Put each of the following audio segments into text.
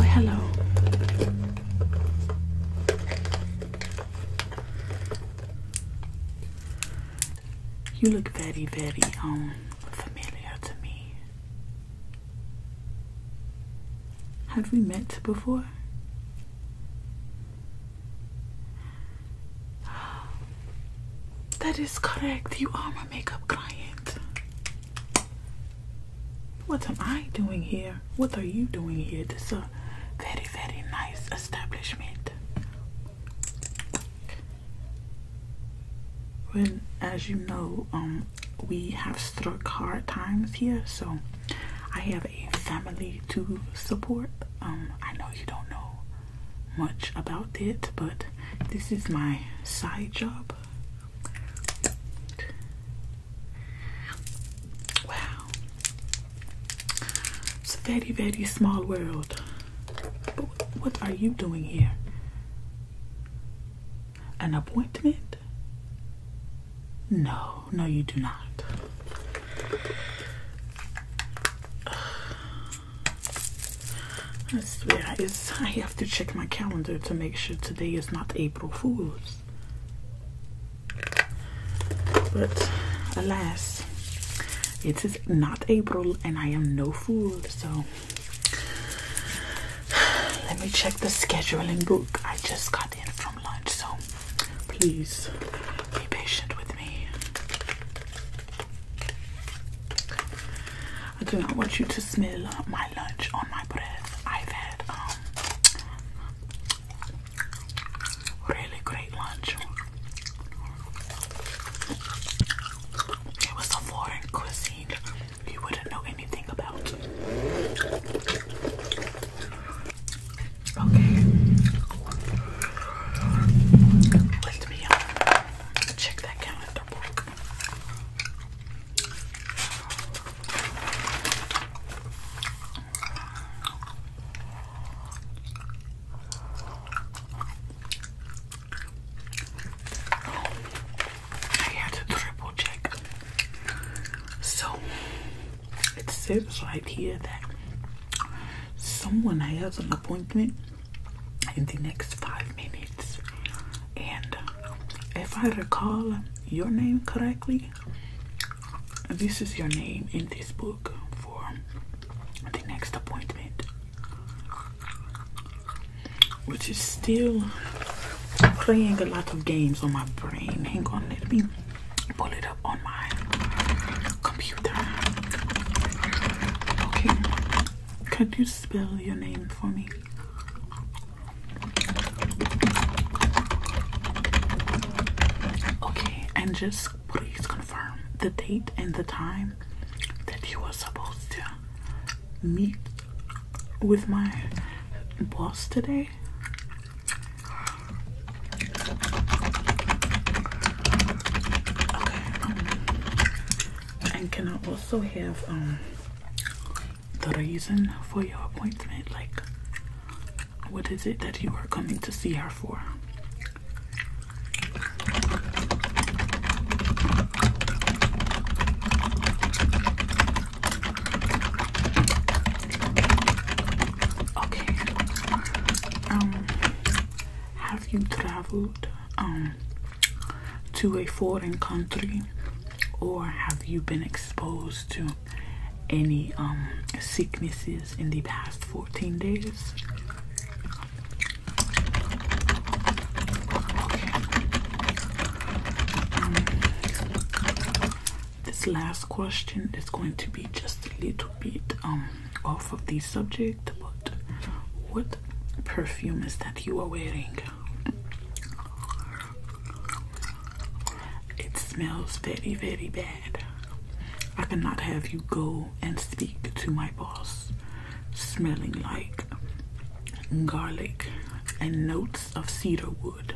Oh, hello. You look very, very unfamiliar um, to me. Have we met before? That is correct. You are my makeup client. What am I doing here? What are you doing here? This is a very, very nice well, as you know, um, we have struck hard times here, so I have a family to support. Um, I know you don't know much about it, but this is my side job. Wow, it's a very, very small world. But what are you doing here? An appointment? No, no, you do not. I I have to check my calendar to make sure today is not April Fool's. But alas, it is not April and I am no fool. So let me check the scheduling book. I just got in from lunch. So please be patient with me. I do not want you to smell my lunch on my breath. I've had um Really great lunch. It was a foreign cuisine you wouldn't know anything about. Okay. Let me um, check that calendar book. I had to triple check. So it seems right here that someone has an appointment in the next five minutes. And if I recall your name correctly, this is your name in this book for the next appointment, which is still playing a lot of games on my brain. Hang on, let me pull it up on my computer. Okay, could you spell your name for me? Okay, and just please confirm the date and the time that you were supposed to meet with my boss today. Okay, um, and can I also have um the reason for your appointment like what is it that you are coming to see her for okay um have you traveled um to a foreign country or have you been exposed to any um, sicknesses in the past 14 days. Um, this last question is going to be just a little bit um, off of the subject, but what perfume is that you are wearing? It smells very, very bad. I cannot have you go and speak to my boss smelling like garlic and notes of cedar wood.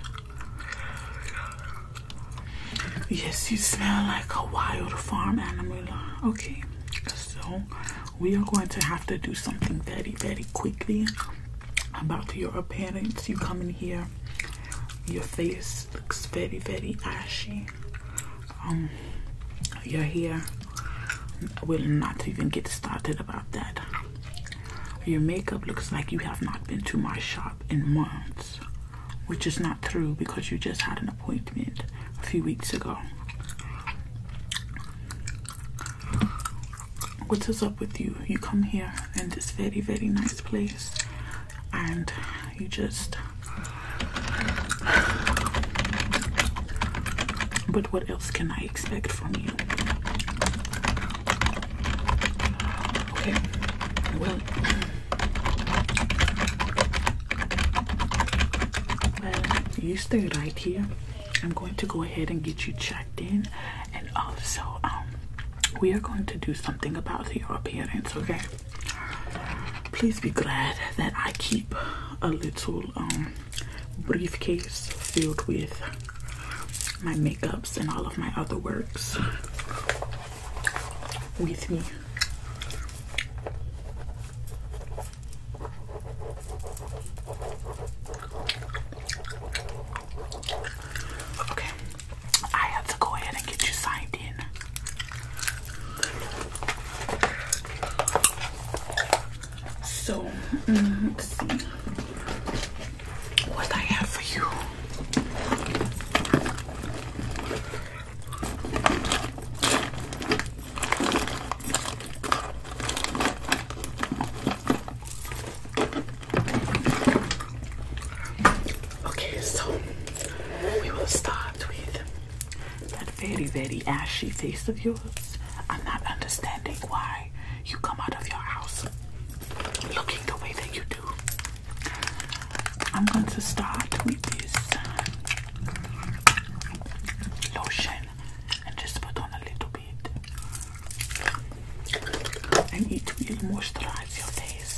Yes, you smell like a wild farm animal. Okay, so we are going to have to do something very, very quickly about your appearance. You come in here, your face looks very, very ashy. Um, your hair will not even get started about that. Your makeup looks like you have not been to my shop in months, which is not true because you just had an appointment a few weeks ago what is up with you? You come here in this very, very nice place and you just. But what else can I expect from you? Okay, well. Well, you stay right here. I'm going to go ahead and get you checked in, and also um, we are going to do something about your appearance. Okay. Please be glad that I keep a little um, briefcase filled with my makeups and all of my other works with me. Okay, I have to go ahead and get you signed in. So, mm, let's see what I have for you. Okay, so we will start with that very, very ashy face of yours. I'm not understanding why you come out of your house looking the way that you do. I'm going to start with this lotion and just put on a little bit bit and it will moisturize your face.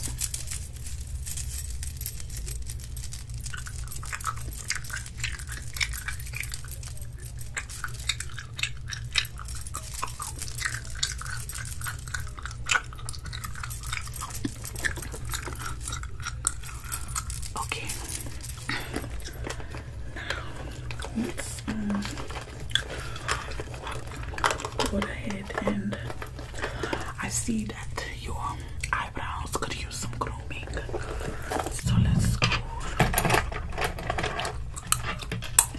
Okay, now it's um, Go ahead and I see that your eyebrows could use some grooming. So let's go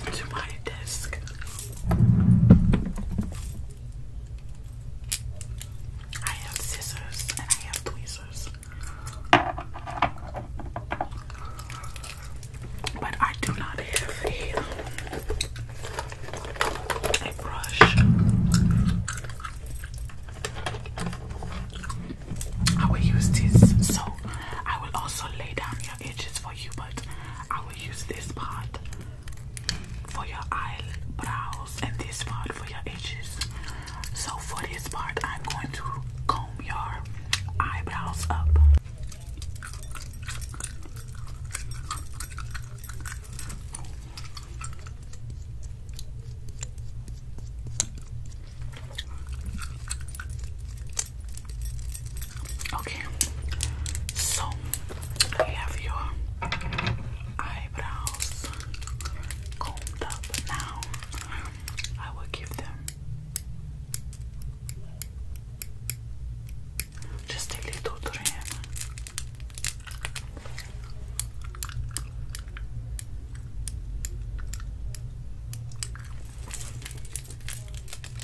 into my desk. I have scissors and I have tweezers. But I do not have a, brush. I will use this. So I will also lay down your edges for you, but I will use this part for your eyebrows and this part for your edges. So for this part, I'm going to comb your eyebrows up. Okay, so we have your eyebrows combed up now. I will give them just a little trim.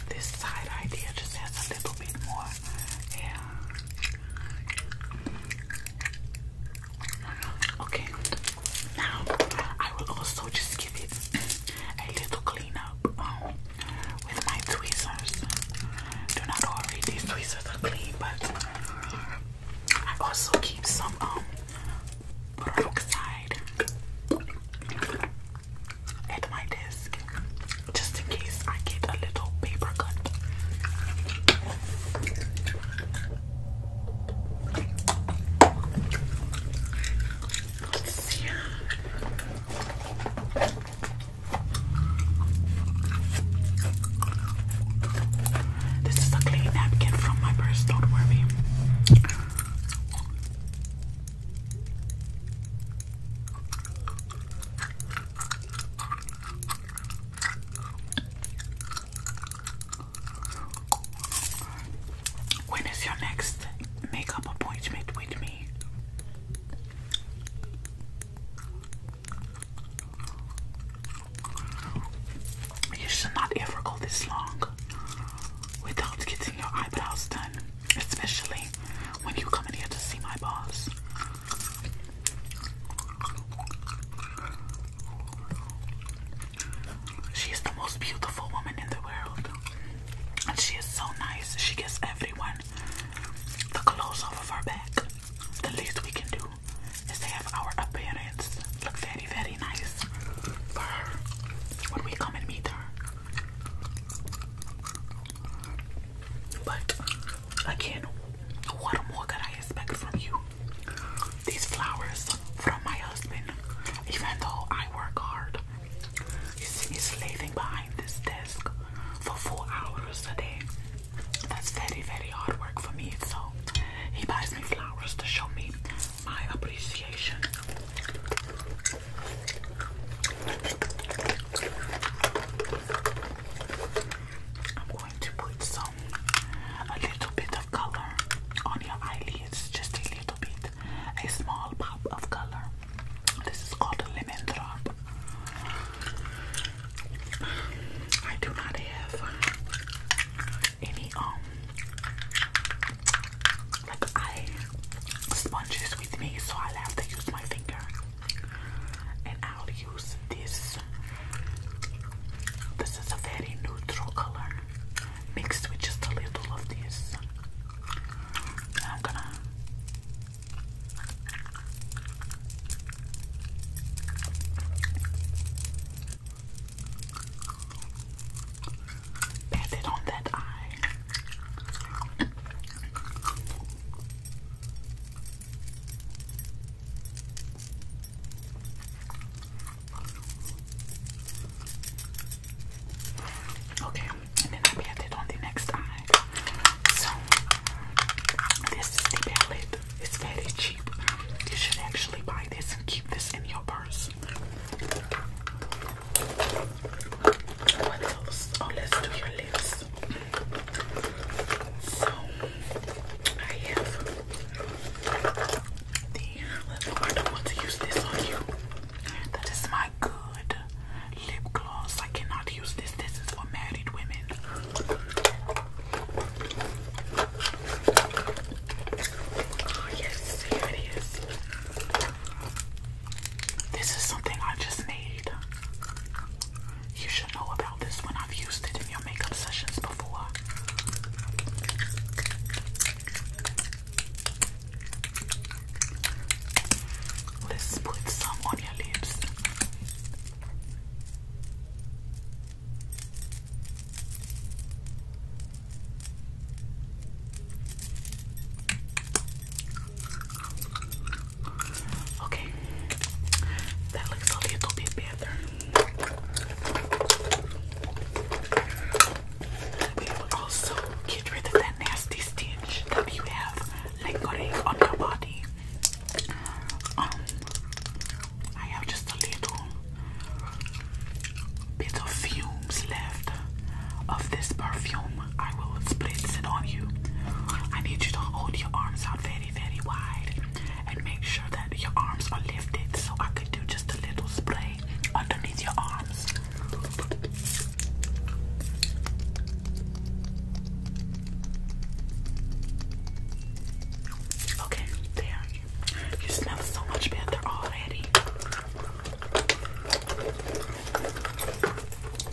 This side idea just has a little bit more. Yeah. Okay, now I will also just give it a little clean up um, with my tweezers. Do not worry, these tweezers are clean, but I also keep some um peroxide at my desk just in case I get a little paper cut. Let's see. This is a clean napkin from my purse, don't worry. When is your next makeup appointment with me? You should not ever go this long without getting your eyebrows done, especially when you come in here to see my boss. She is the most beautiful woman in the world. And she is so nice. She gives everyone the clothes off of our back. The least we can do is to have our appearance look very, very nice for her when we come and meet her. But again, what more could I expect from you? these flowers from my husband, even though I work hard. You see me slaving behind this desk for four hours a day. That's very, very hard work for me. So he buys me flowers to show me my appreciation to put some, a little bit of color on your eyelids, just a little bit, a small pop of color. This is called a lemon drop. I do not have any um like eye sponges with me, so I'll have to use my finger and i use this. This is a very neutral color mixed with just a little of this. I'm gonna pat it on that eye. Okay, and then I pat it on the next eye. So this is the palette. It's very cheap. You should actually buy this and keep this in your purse. What else? Oh, let's do your lips. So I have the I don't want to use this on you. That is my good lip gloss. I cannot use this. This is for married women. Oh, yes, here it is. This is something I just made. You should know about this When I've used it in your makeup sessions before. Let's put some on your lips. Okay, that looks a little bit better. It will also get rid of that nasty stench that you have lingering on your body. Um, I have just a little bit of fumes left of this perfume. I will spritz it on you. I need you to hold your arms out very, very wide and make sure that your arms are lifted. So I could do just a little spray underneath your arms. Okay, there. You smell so much better already.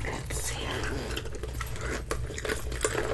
Let's see.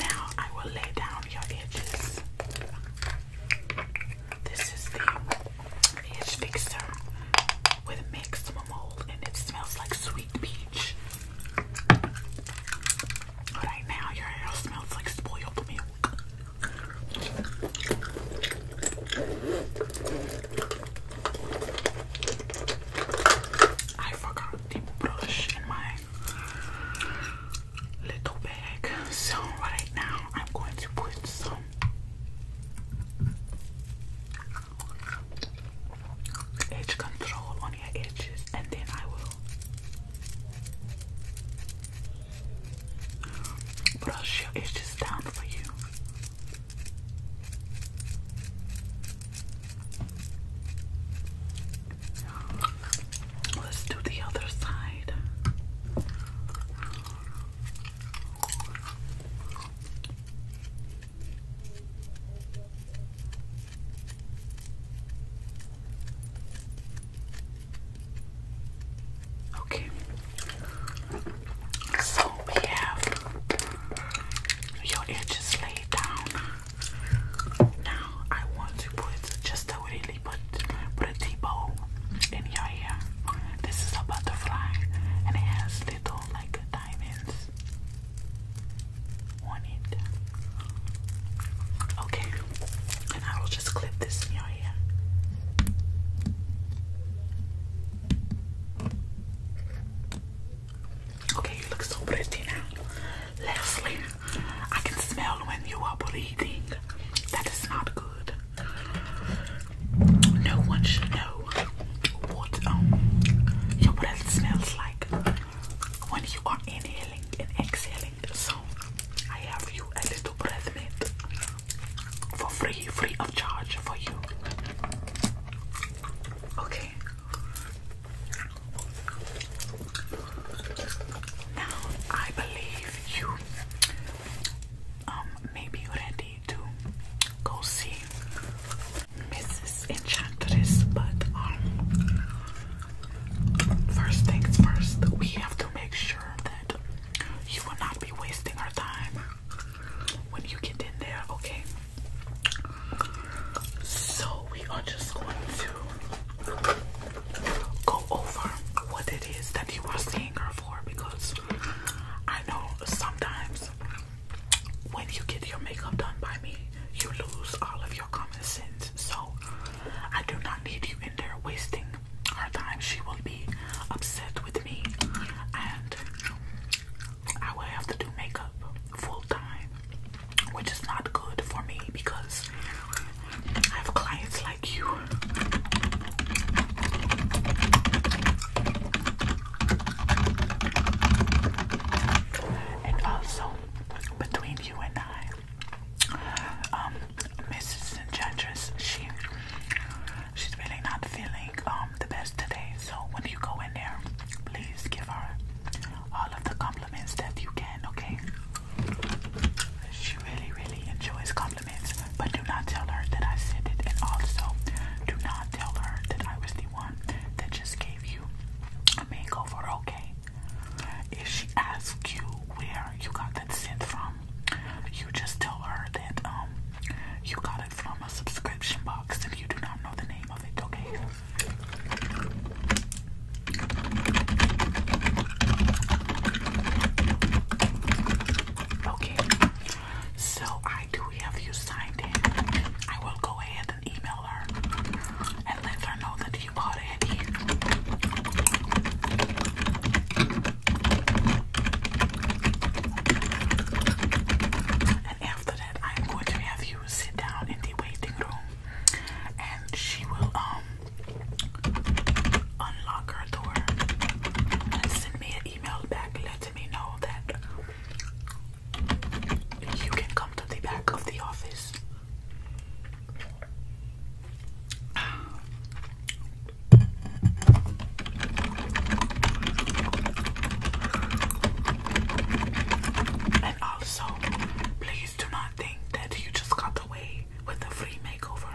Now I will lay down your edges. This is the edge fixer with maximum mold and it smells like sweet peach. Right now your hair smells like spoiled milk. I forgot the brush in my little bag. So right now I'm going to put some edge control on your edges and then I will brush your edges down for you. Let's do the other side. Okay, so we have your edges laid down. Now I want to put just a really put put a tea bowl in your hair. This is a butterfly and it has little like diamonds on it. Okay, and I will just clip this in your hair. Okay, you look so pretty now. Leslie, I can smell when you are breathing. That is not good. No one should know what um, your breath smells like when you are inhaling and exhaling. So, I have you a little breath mint for free, free of charge for you. Okay, now I believe you um may be ready to go see Mrs. Enchantress, but um first things first, we have to make sure that you will not be wasting our time when you get in there, okay? So we are just going to go over what it is that you are seeing her for because I know sometimes when you get your makeup done by me, you lose all of your common sense. So I do not need you in there wasting her time. She will be upset with me and I will have to do makeup full time, which is not good for me because I have clients like you. And also, between you and I, um, Mrs. Judges, she she's really not feeling um the best today. So when you go in there, please give her all of the compliments that you can, okay? She really, really enjoys compliments, but do not tell her that I said it. And also, do not tell her that I was the one that just gave you a makeover, okay? If she asks you where you got that scent from, you just tell her that um you got it from a subscription box and you do not know the name of it, okay? Okay, so I do have you signed in. I will go ahead and email her and let her know that you bought it here. And after that, I'm going to have you she sit down in the waiting room and she will um unlock her door and send me an email back letting me know that you can come to the back of the office. And also, please do not think that you just got away with a free makeover.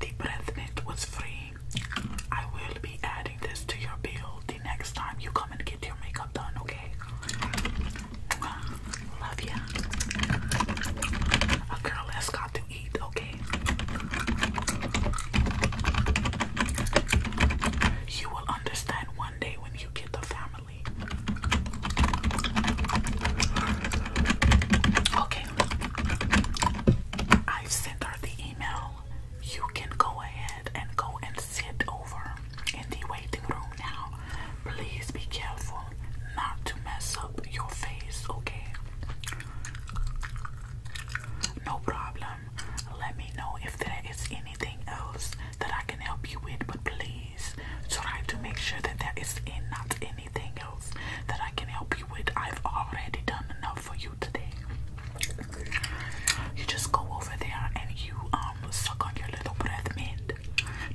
The breath mint was free. I will be adding this to your bill the next time you come and get your makeup done, okay? Love ya. A girl has got to eat, okay? You will understand one day when you get the family. Okay. I've sent her the email. You can go ahead and go and sit over in the waiting room now. Please be careful not to mess up your face, okay? No problem let me know if there is anything else that I can help you with, but please try to make sure that there is not anything else that I can help you with. I've already done enough for you today. You just go over there and you um suck on your little breath mint.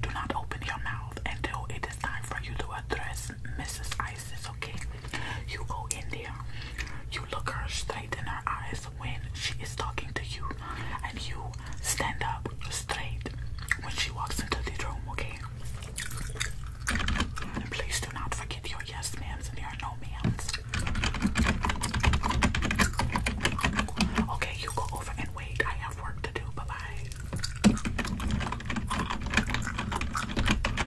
Do not open your mouth until it is time for you to address Mrs. I okay? You go in there, you look her straight in her eyes when she is talking to you, and you stand up straight when she walks into the room, okay? please do not forget your yes ma'ams and your no ma'ams. Okay, you go over and wait. I have work to do. Bye bye.